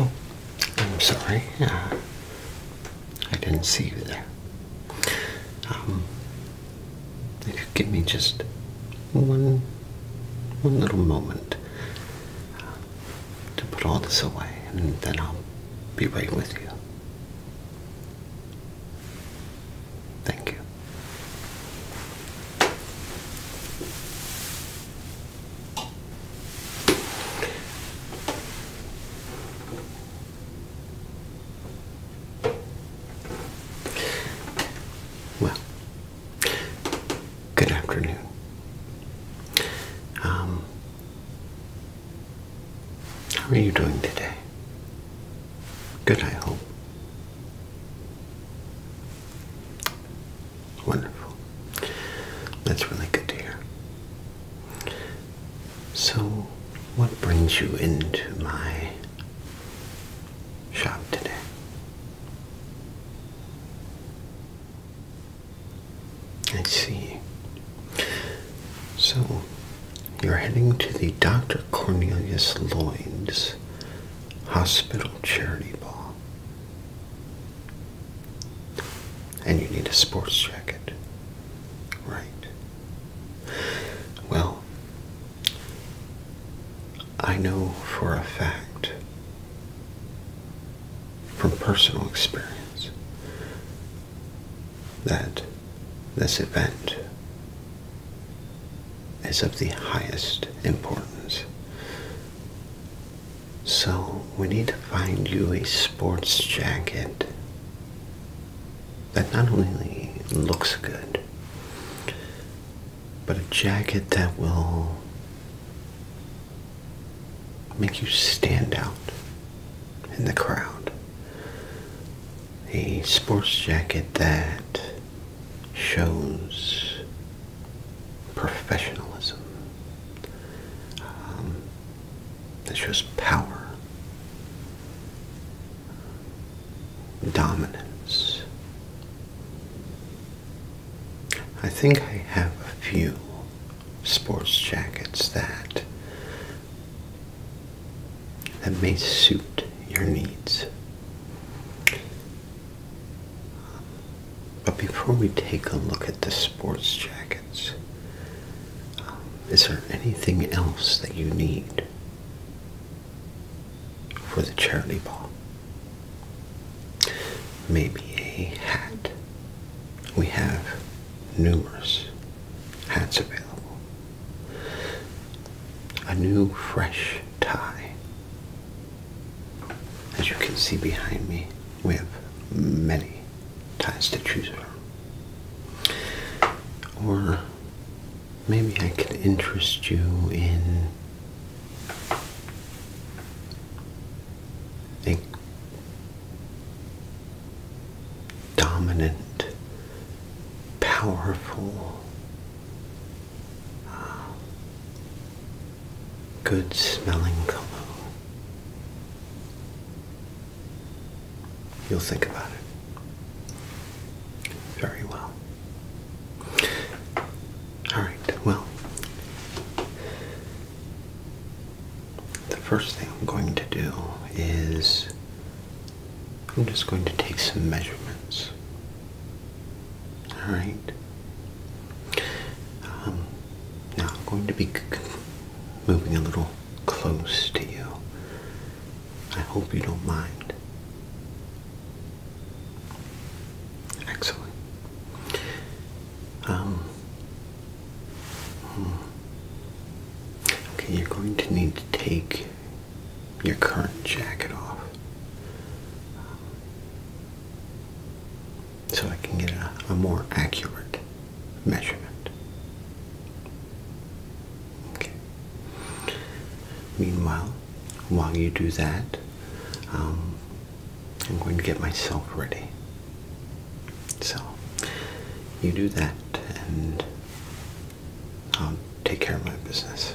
Oh, I'm sorry. Uh, I didn't see you there. Um, if you give me just one, one little moment to put all this away, and then I'll be right with you. Thank you. Well, good afternoon. Um, how are you doing today? Good, I hope. Wonderful. That's really good to hear. So, what brings you into my shop today. I see. So, you're heading to the Dr. Cornelius Lloyd's Hospital Charity Ball. And you need a sports jacket. Right. Well, I know for a fact from personal experience that this event is of the highest importance. So we need to find you a sports jacket that not only looks good, but a jacket that will make you stand out in the crowd. A sports jacket that shows professionalism, um, that shows power, dominance. I think I have a few sports jackets that that may suit your needs. But before we take a look at the sports jackets, um, is there anything else that you need for the charity ball. Maybe a hat. We have numerous hats available. A new fresh tie. As you can see behind me, we have many ties to choose from. Or maybe I could interest you in a dominant, powerful, uh, good smelling cologne. You'll think about it. Very well. All right, well, the first thing I'm going to do is I'm just going to take some measurements. All right. Um, now I'm going to be moving a little close to you. I hope you don't mind. Excellent. Um, hmm. okay, you're going to need to take your current jacket off so I can get a, a more accurate measurement. Okay. Meanwhile, while you do that, um, I'm going to get myself ready. So, you do that and I'll um, take care of my business.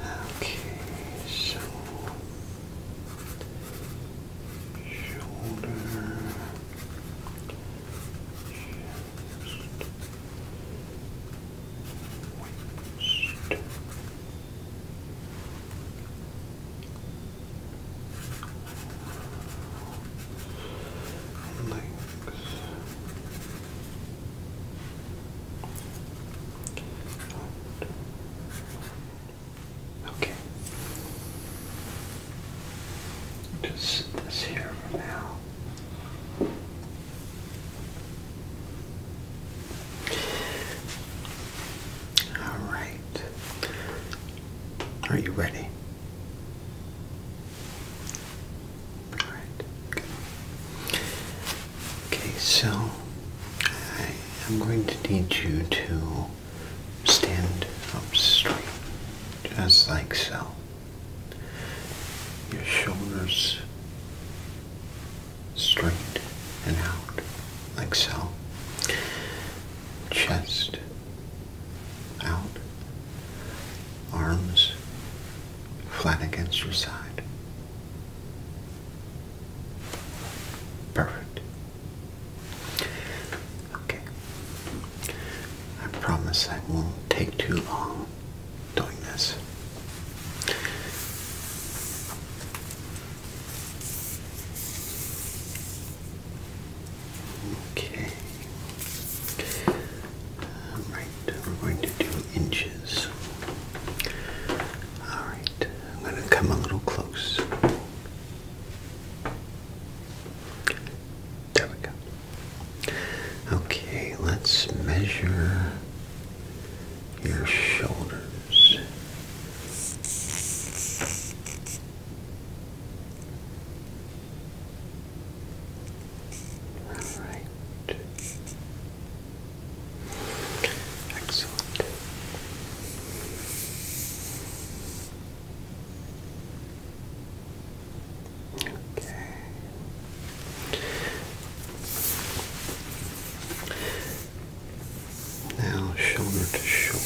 Okay, so shoulder West. Links. Okay. Just this here for now. All right. Are you ready? All right. Good. Okay, so I am going to need you to stand up straight, just like so. Your shoulders straight and out, like so. Chest out, arms flat against your side. Perfect. Okay. I promise I won't take too long doing this. Okay. Alright, we're going to do inches. Alright, I'm going to come a little close. There we go. Okay, let's measure your shoulders. All right. Excellent. Okay. Now, shoulder to shoulder.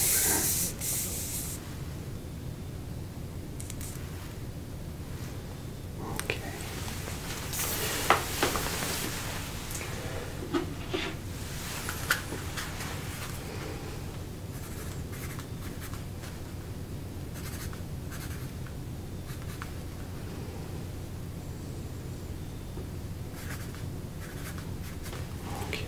Okay. Okay.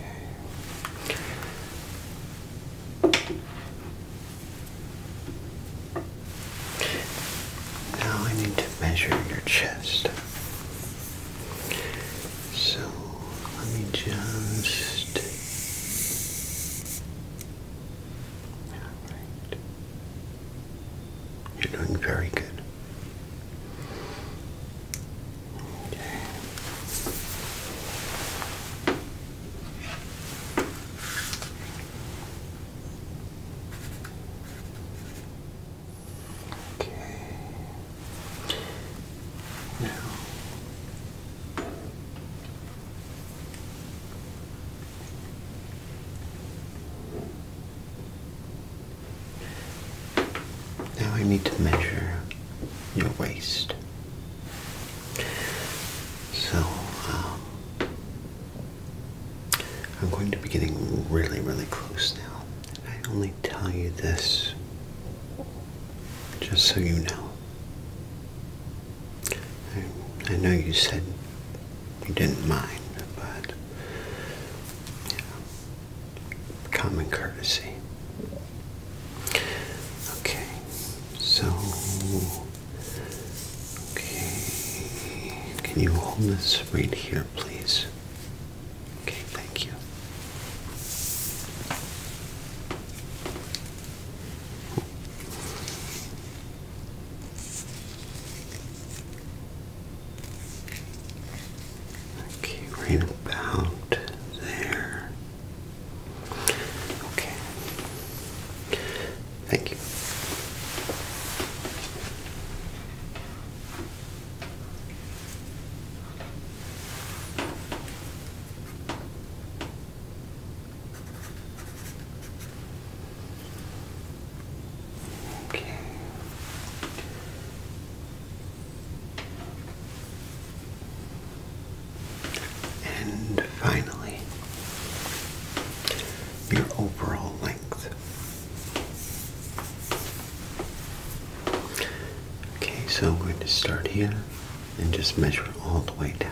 Now I need to measure your chest. So let me just. All right. You're doing very good. Okay. Okay. Now now I need to measure your waist. So, um, I'm going to be getting really, really close now. I only tell you this just so you know. I know you said you didn't mind, but common courtesy. Okay, so okay, can you hold this right here, please? Okay, thank you. Okay, right about there. Okay. Thank you. Okay. And finally, your overall length. Okay, so I'm going to start here and just measure all the way down.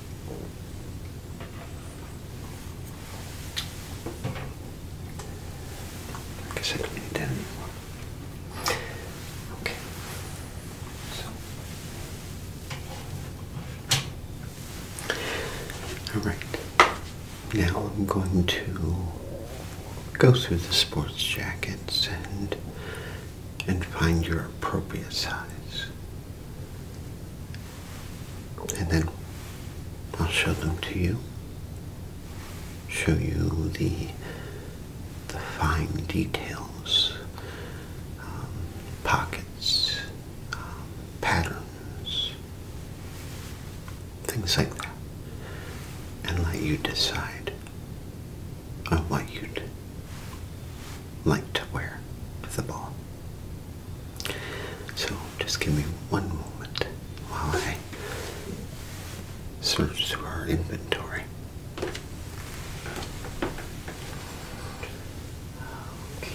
Okay. Alright. Now I'm going to go through the sports jackets and and find your appropriate size and then I'll show them to you. Show you the the fine details, um, pockets, um, patterns, things like that, and let you decide on what you'd like to wear with the ball. So just give me one moment while I search through our inventory. Okay.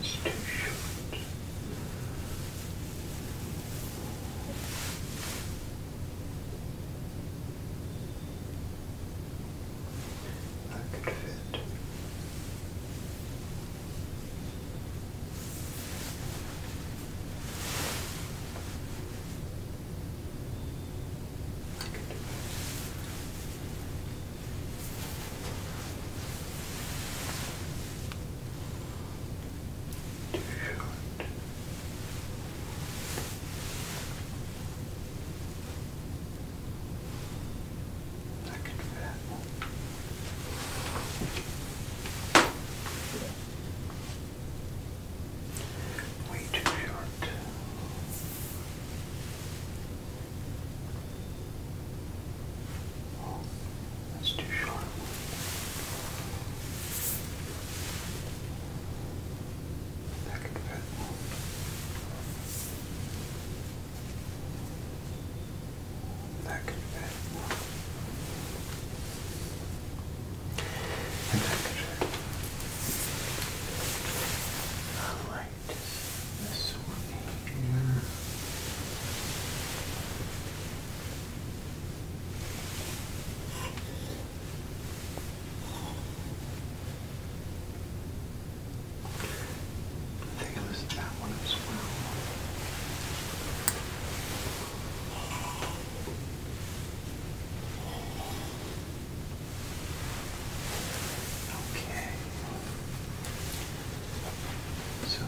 That's too short. That could fit. I too short. I can fit. Way too short that's too short. That could fit. That could fit. And that could fit. I like this one here. I think it was that one Okay. So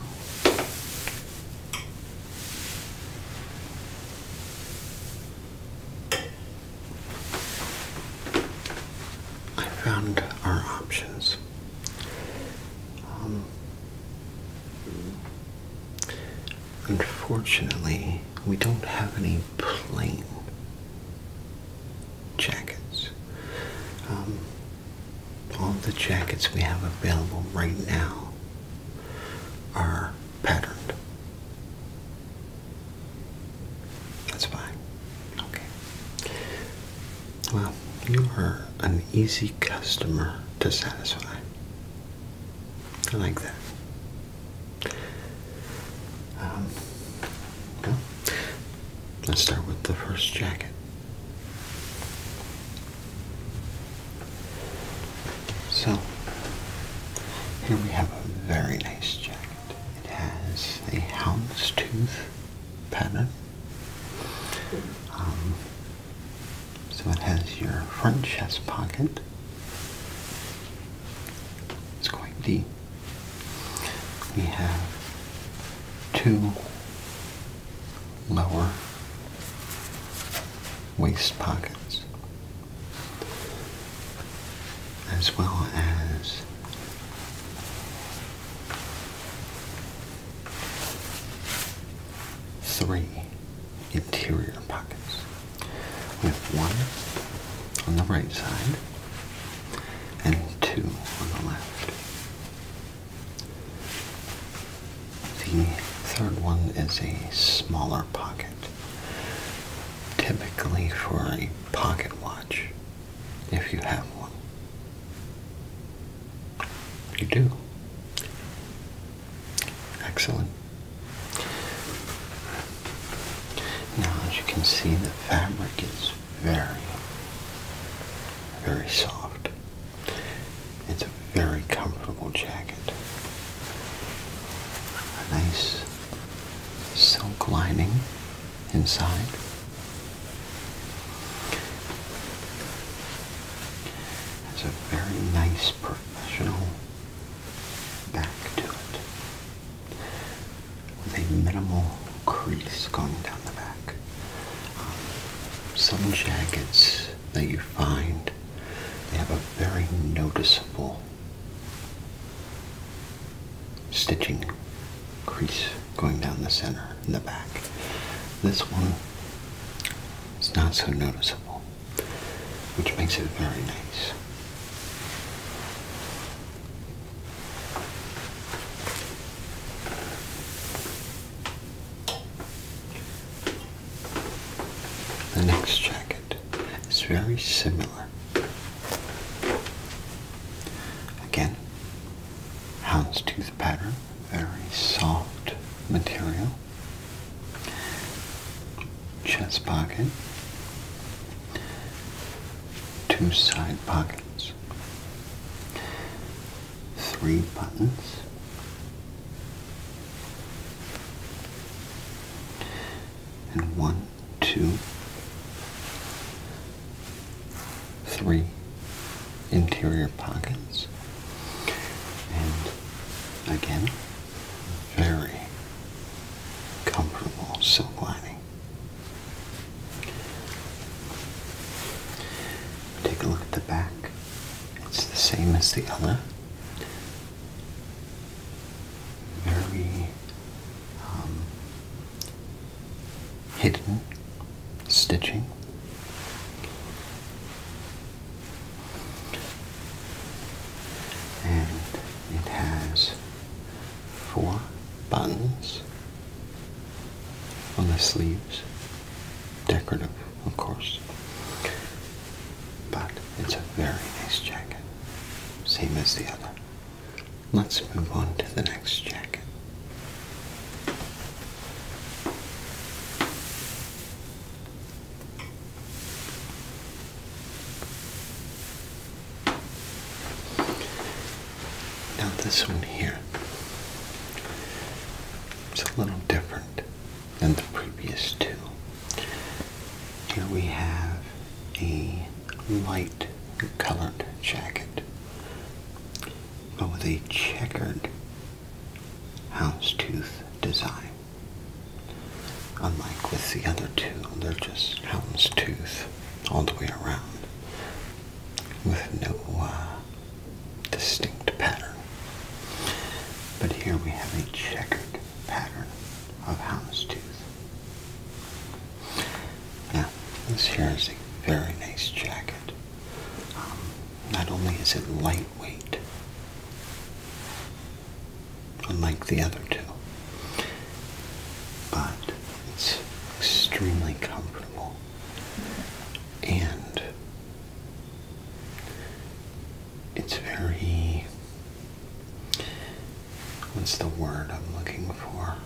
I found our options. Um, unfortunately, we don't have any plane jackets. Um, all the jackets we have available right now are patterned. That's fine. Okay. Well, you are an easy customer to satisfy. I like that. Um, Let's start with the first jacket. So, here we have a very nice jacket. It has a houndstooth pattern. Um, so it has your front chest pocket. It's quite deep. We have two lower waist pockets as well as three interior pockets with one on the right side and two on the left. The third one is a smaller pocket, typically for a pocket watch, if you have one. You do. Excellent. Now, as you can see, the fabric is very, very soft. It's a very comfortable jacket. A nice silk lining inside. It's a very nice professional back to it with a minimal crease going down the back. Um, some jackets that you find, they have a very noticeable stitching crease going down the center in the back. This one is not so noticeable, which makes it very nice. The next jacket is very similar. Again, houndstooth pattern, very soft material. Chest pocket, two side pockets. Three buttons. And one, two, three interior pockets. And again, very comfortable silk lining. Take a look at the back. It's the same as the other. Very um, hidden stitching. And it has four buttons on the sleeves. Decorative, of course. But it's a very nice jacket. Same as the other. Let's move on to the next jacket. Now this one here is a little different than the previous two. Here we have a light colored jacket, but with a checkered houndstooth design. Unlike with the other two, they're just houndstooth all the way around with no uh, distinct pattern. But here we have a checkered pattern of houndstooth. Now, this here is a very nice jacket. Um, not only is it lightweight, unlike the other two, but it's extremely comfortable. And it's very. What's the word I'm looking for?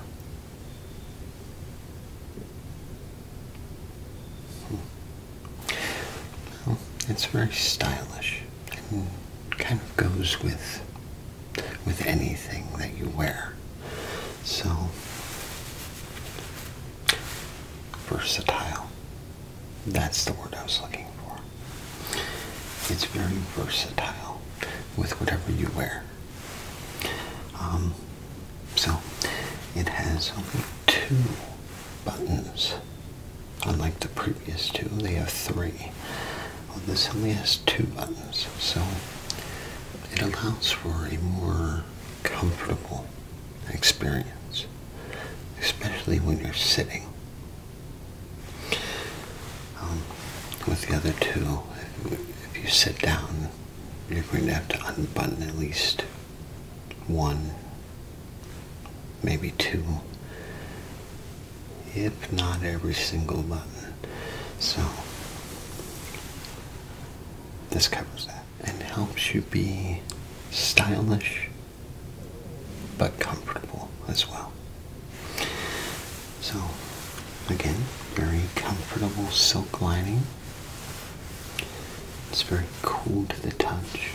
Hmm. it's very stylish and kind of goes with with anything that you wear. So versatile. That's the word I was looking for. It's very versatile with whatever you wear. Um, so it has only two buttons. Unlike the previous two, they have three. this only has two buttons. So it allows for a more comfortable experience, especially when you're sitting. Um, with the other two, if you sit down, you're going to have to unbutton at least one, maybe two, if not every single button. So this covers that and helps you be stylish but comfortable as well. So, again, very comfortable silk lining. It's very cool to the touch,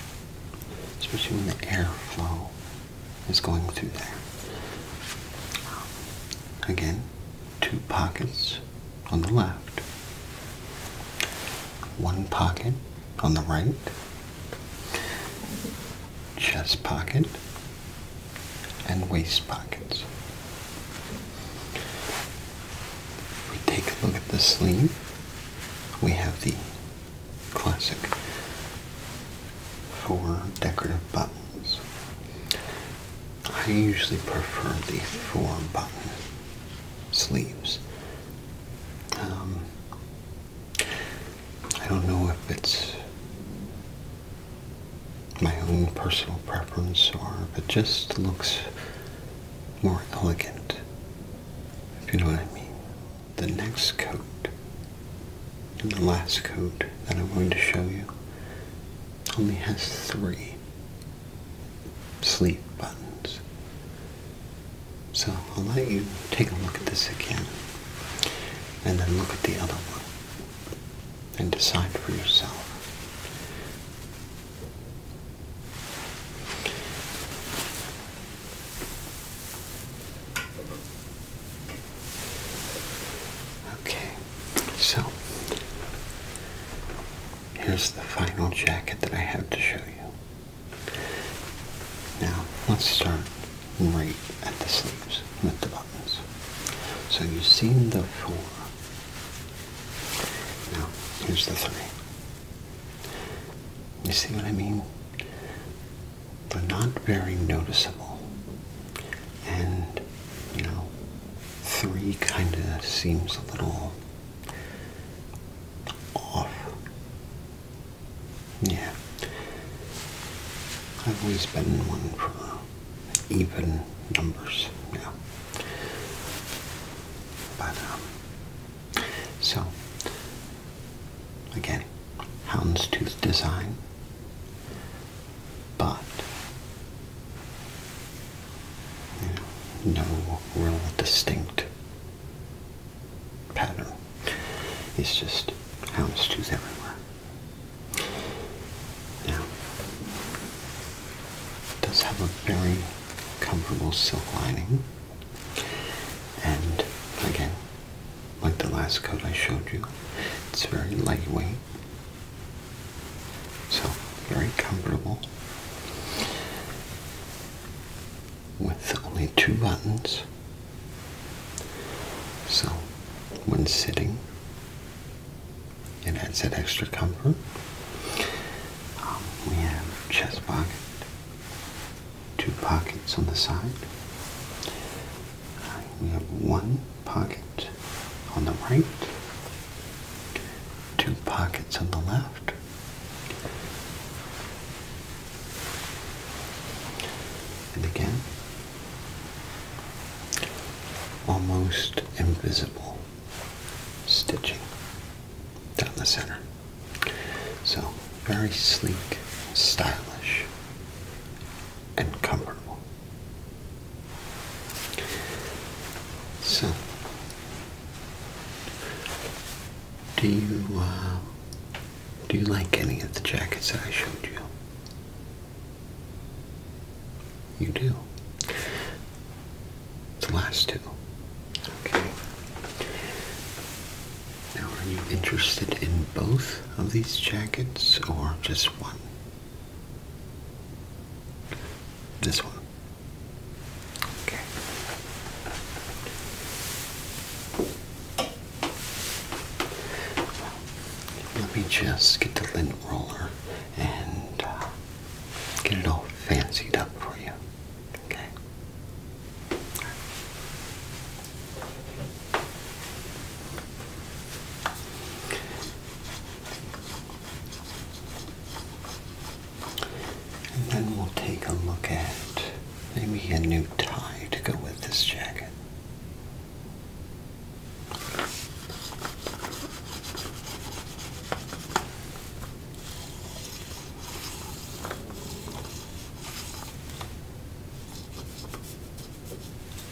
especially when the airflow is going through there. Again, two pockets on the left, one pocket on the right, chest pocket, and waist pockets. We take a look at the sleeve. We have the classic four decorative buttons. I usually prefer the four button sleeves. Um, I don't know if it's my own personal preference or if it just looks more elegant, if you know what I mean. The next coat and the last coat that I'm going to show you only has three sleep buttons. So I'll let you take a look at this again and then look at the other one and decide for yourself. Okay. So, here's the final jacket that I have to show you. Now, let's start right at the sleeves with the buttons. So you've seen the four. Now, here's the three. You see what I mean? They're not very noticeable and you know, three kind of seems a little off. Yeah, I've always been one for even numbers now, but um, so again, houndstooth design but no real distinct pattern. It's just houndstooth everywhere. Now, it does have a very comfortable silk lining, and again, like the last coat I showed you, it's very lightweight. So, very comfortable. With only two buttons. So, when sitting, it adds that extra comfort. Um, we have chest pocket, two pockets on the side. Uh, we have one pocket on the right, two pockets on the left. And again, almost invisible stitching down the center. So very sleek, stylish, and comfortable. So, do you uh, do you like any of the jackets that I showed you? You do. The last two. Okay. Now, are you interested in both of these jackets or just one? This one. Okay. let me just get the lint roller and uh, get it all fancied up for you. Okay. And then we'll take a look at maybe a new tie to go with this jacket.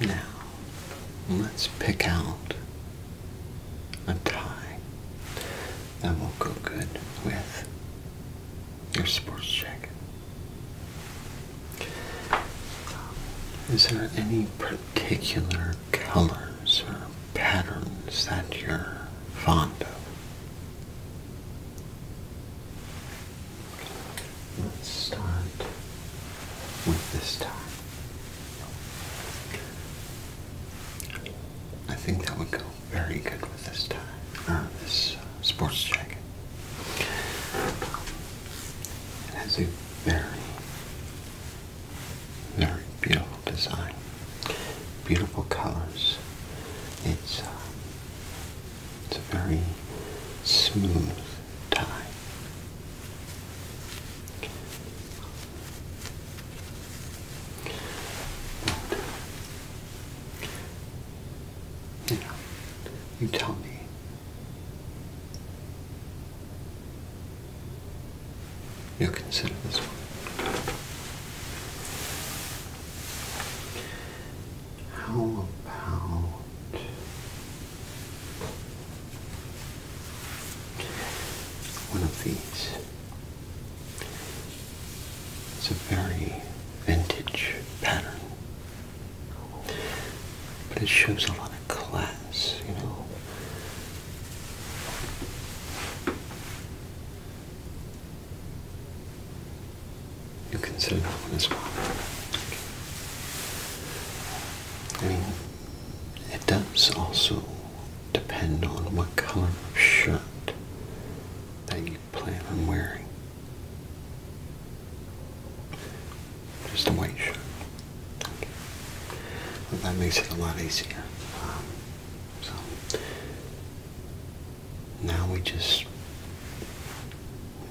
Now, let's pick out a tie that will go good with your sports jacket. Is there any particular colors or patterns that you're fond of? Let's start with this tie. I think that would go very good with this tie, uh, this uh, sports jacket. It has a very, very beautiful design, beautiful colors. It's uh, it's a very smooth tie. But, you know, you tell me. You'll consider this one. How about one of these? It's a very vintage pattern, but it shows a lot of class, you know. You can that one as well. I mean, it does also depend on what color of shirt that you plan on wearing. Just a white shirt. that makes it a lot easier. Um, so, now we just you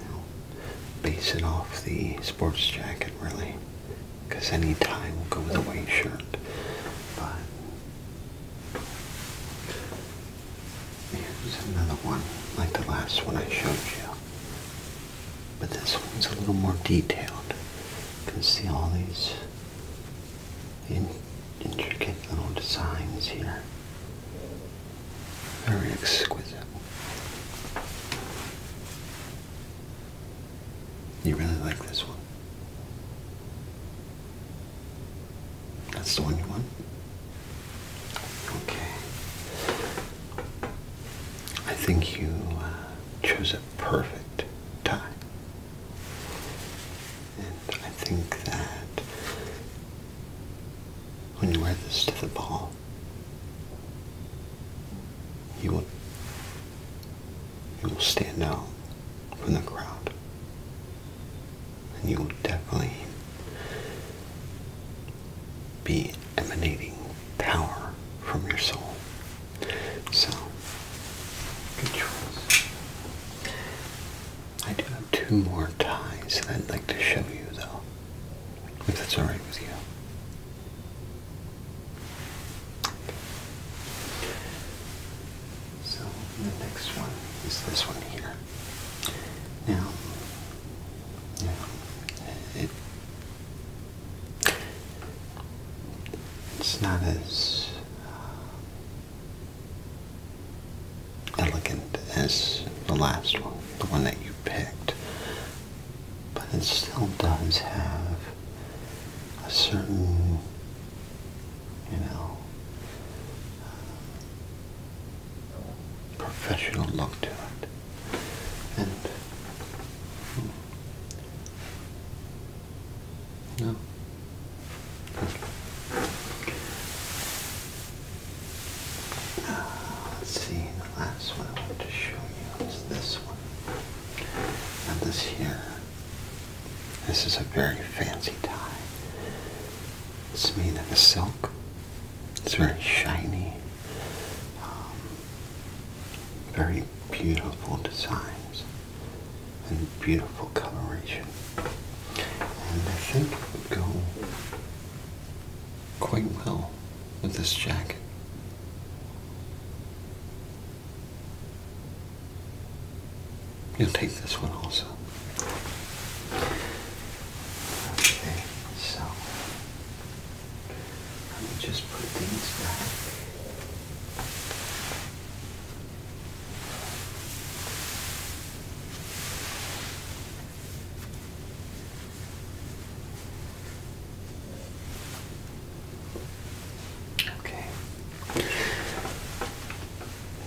know, base it off the sports jacket really because any we will go with a white shirt but here's another one like the last one I showed you but this one's a little more detailed you can see all these intricate little designs here very exquisite. You really like this one? That's the one you want? Okay. I think you uh, chose a perfect tie. And I think that when you wear this to the ball, you will, you will stand out from the crowd. And you will definitely be emanating power from your soul. So, good choice. I do have two more ties that I'd like to show you, though, if that's alright with you. So, the next one is this one here. Now, now it, it's not as. Uh, elegant as the last one, the one that you picked, but it still does have a certain, you know, uh, professional look to it. And hmm. no, uh, let's see, the last one I want to show you is this one. And this here. This is a very fancy tie. It's made of silk. It's very shiny. Um, very beautiful designs and beautiful coloration. And I think it would go quite well with this jacket. You'll take this one also. Okay, so let me just put these back. Okay.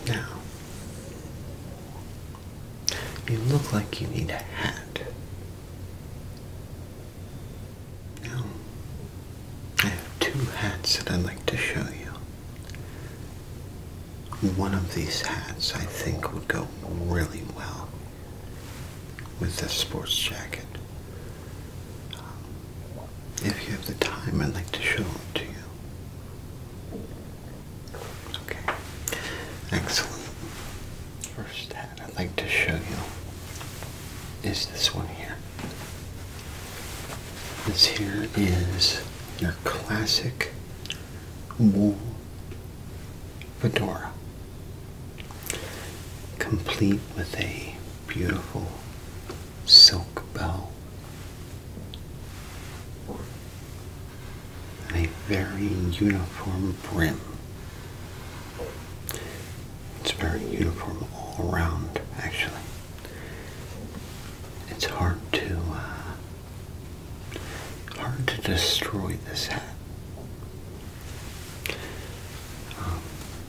Now, you look like you need a hat. Now, I have two hats that I'd like to show you. One of these hats I think would go really well with this sports jacket. Um, if you have the time, I'd like to show it to you. Okay, excellent. First hat I'd like to show you is this one here. This here is your classic wool fedora, complete with a beautiful silk bow and a very uniform brim. It's very uniform all around, actually. It's hard to uh, Hard to destroy this hat. Um,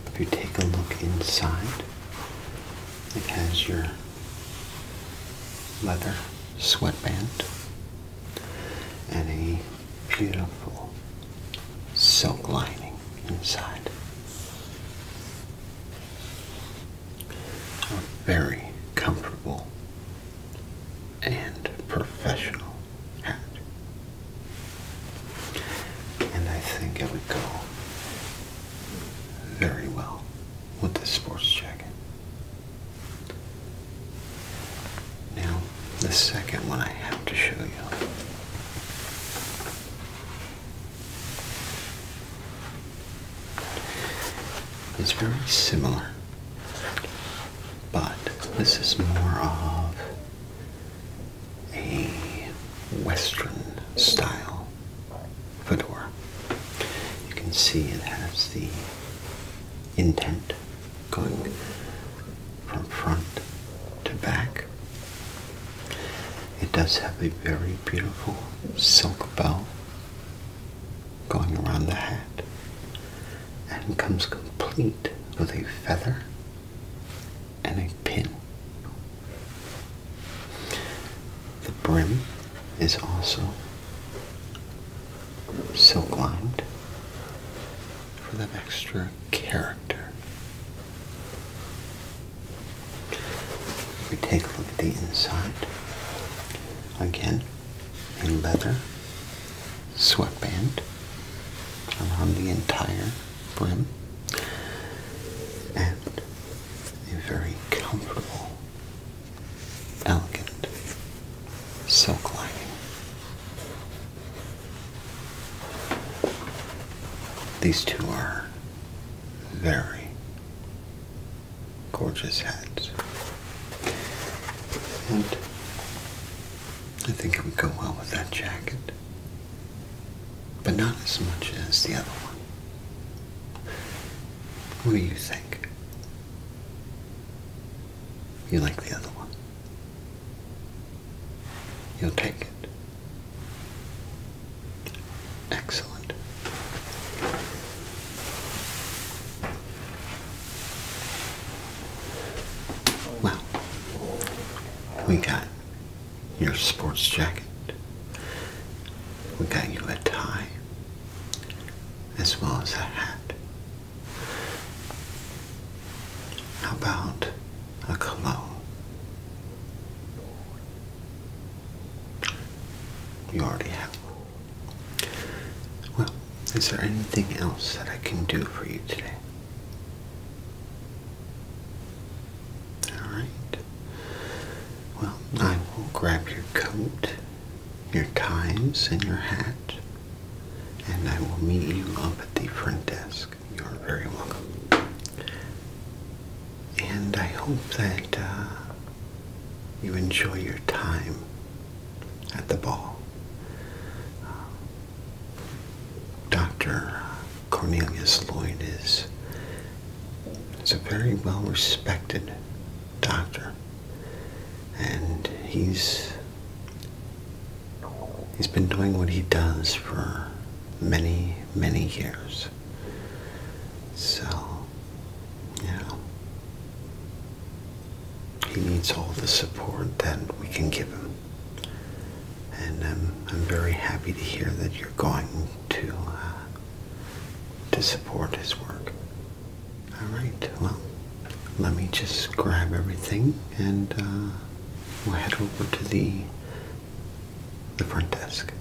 if you take a look inside, it has your leather sweatband and a beautiful silk lining inside are very comfortable and professional hat. And I think it would go very well with this sports jacket. Now, the second one I have to show you it's very similar, but this is more of a Western style fedora. You can see it has the intent going from front to back. It does have a very beautiful silk bow going around the hat and comes complete with a feather and a pin. The brim is also silk lined for that extra character. If We take a look at the inside. Again, and leather sweatband around the entire brim and a very comfortable, elegant silk lining. These two are very gorgeous hats. And I think it would go well with that jacket. But not as much as the other one. What do you think? You like the other one? You'll take it. Excellent. Excellent. we got your sports jacket. We got you a tie, as well as a hat. How about a cologne? You already have one. Well, is there anything else that I can do for you today? Alright. Well, I will grab your coat, your ties, and your hat, and I will meet you up at the front desk. You're very welcome. And I hope that uh, you enjoy your time at the ball. Uh, Dr. Cornelius Lloyd is, is a very well respected doctor, and he's he's been doing what he does for many many years. So yeah. He needs all the support that we can give him. And I'm very happy to hear that you're going to, uh, to support his work. All right, well, let me just grab everything and uh, we'll head over to the, the front desk.